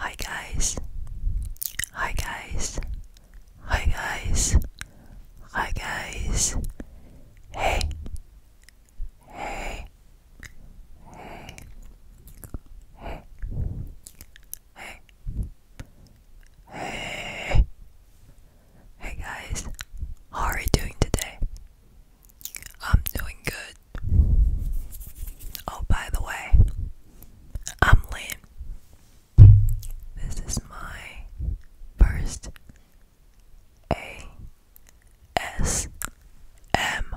Hi guys. Hi guys. Hi guys. Hi guys. Hey. Hey. Hey. Hey. Hey. Hey. Hey guys. How are you doing today? I'm doing good. Oh, by the way, I'm Lynn. This is my first A S M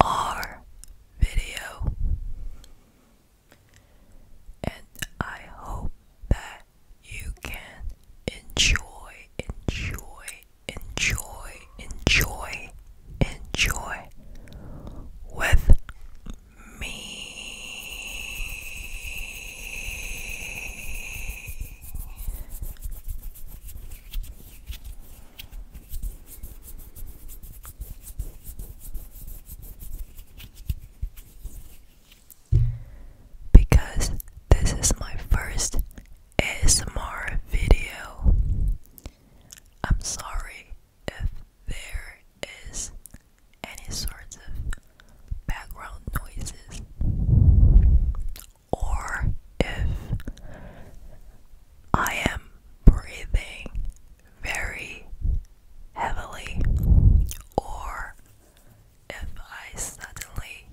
R video, and I hope that you can enjoy, enjoy, enjoy, enjoy, enjoy with me. Because this is my first ASMR video. I'm sorry if there is any sort of background noises or if I am breathing very heavily or if I suddenly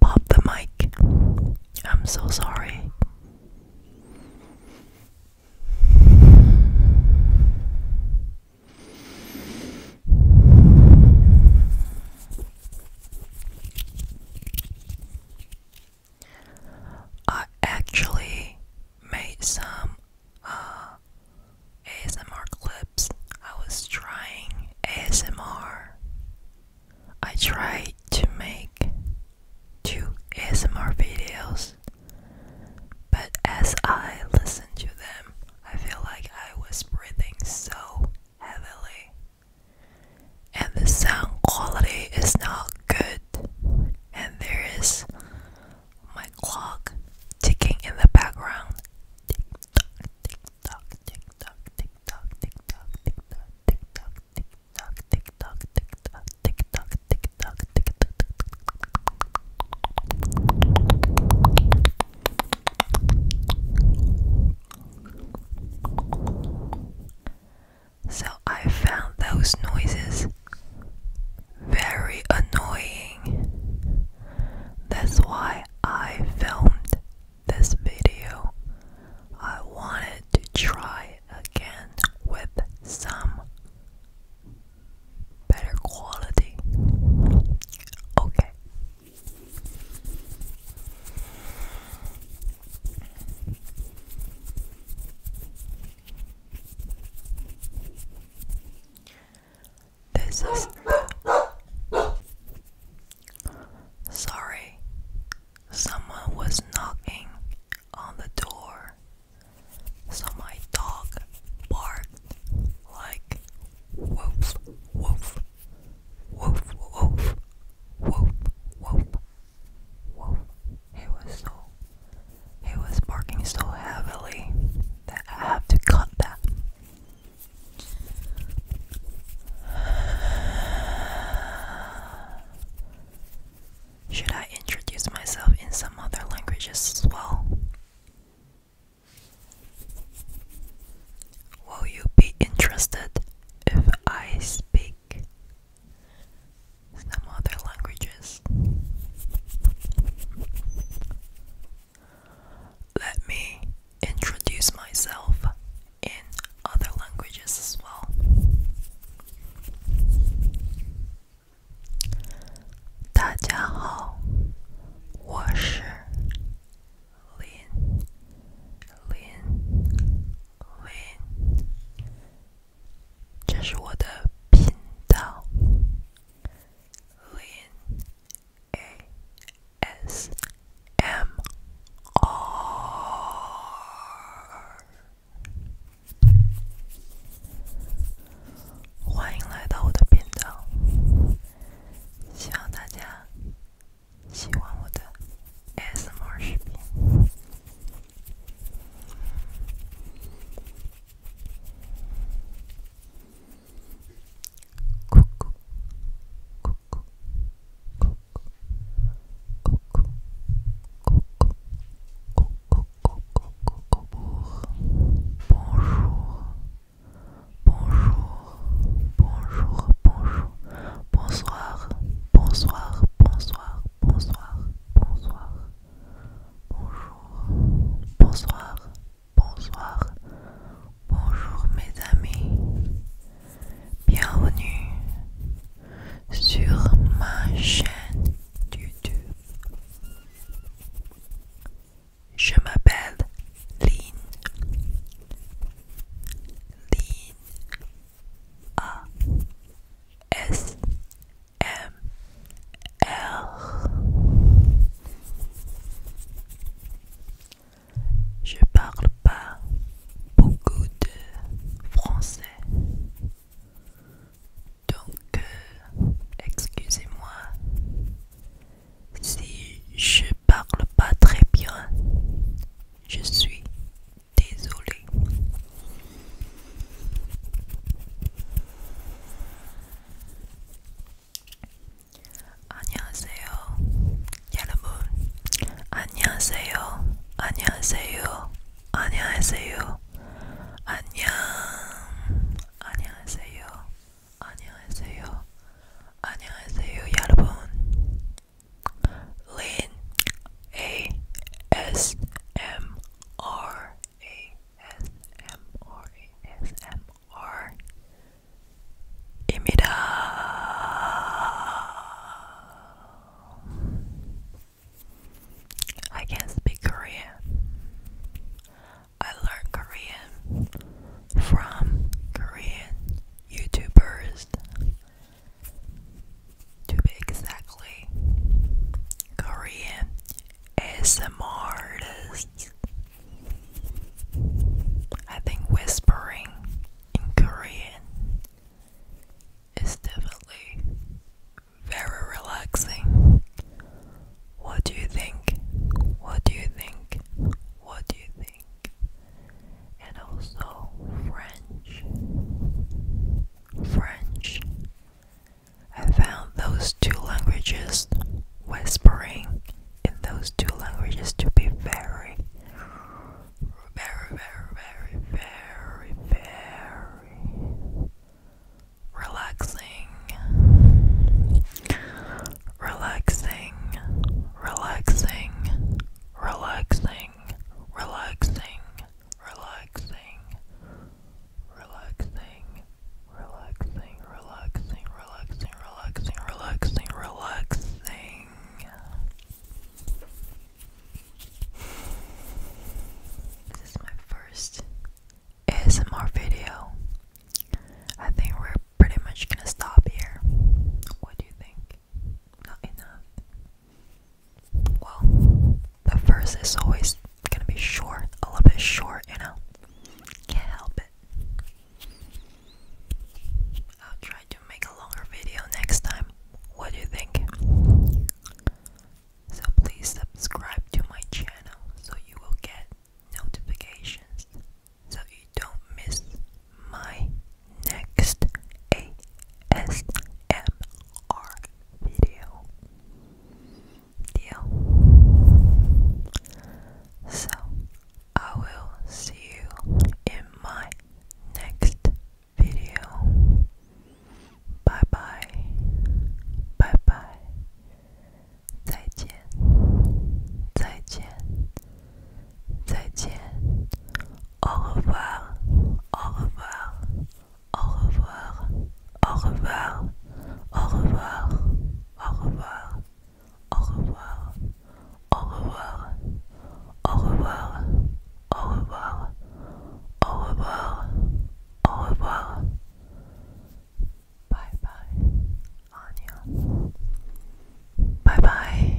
Pop the mic. I'm so sorry. I actually made some uh, ASMR clips. I was trying ASMR. I tried to make two ASMR videos, but as I listened to them, I feel like I was breathing so heavily, and the sound quality is not good, and there is my clock ticking in the background. Tick tock, tick tock, tick tock, tick tock, tick tock, tick tock, tick tock, tick tock, tick tock, tick tock, tick tock, tick tock, tick tock. So I found those noises very annoying. That's why I filmed this video. I wanted to try again with some better quality. Okay. This is Sorry, someone was knocking on the door, so my dog barked like woof, woof, woof, woof, woof, woof, woof. It was so it was barking so heavily that I have to cut that. Should I introduce myself in some other languages as well? Will you be interested if I speak some other languages. Let me introduce myself in other languages as well. Lin, 这是我的频道欢迎来到我的频道，希望大家喜欢我的 S M R 视频。Coucou, bonjour, bonjour, bonjour, bonjour, bonsoir, bonsoir, bonsoir, bonsoir, bonsoir. Bonjour, bonsoir, bonsoir, bonjour mes amis. Bienvenue sur ma chaîne YouTube. Je m'appelle Lynn. Lynn A M Je parle pas beaucoup de français. Donc euh, excusez-moi si je parle pas très bien. Je suis désolé. 안녕하세요, 여러분. 안녕하세요, 안녕하세요, 안녕하세요. 안녕, 안녕하세요, 안녕하세요, 안녕하세요, 여러분. Lin A S M R A S M R A S M R 입니다. I can not speak Korean. I learned Korean from Korean YouTubers to be exactly, Korean ASMR think whispering in Korean is definitely very relaxing. What do you think? What do you think? What do you think? And also French. French. I found those two languages, whispering in those two languages, to be very, very, very, very, very, very relaxing. Relaxing, relaxing, relaxing, relaxing, relaxing, relaxing, relaxing, relaxing, relaxing, relaxing, relaxing, relaxing. This is my first ASMR video. I think we're pretty much gonna stop here. What do you think? Not enough well, the first is always gonna be short, a little bit short, you know. Can't help it. I'll try to make a longer video next time. What do you think? So please subscribe to my channel so you will get notifications so you don't miss my next ASMR video. So, I will see you in my next video. Bye bye. Bye bye. 再见，au revoir，au revoir，au revoir，au revoir，au revoir，au revoir，au revoir，au revoir，au revoir，au revoir，au revoir，au revoir，拜拜，阿娘，拜拜。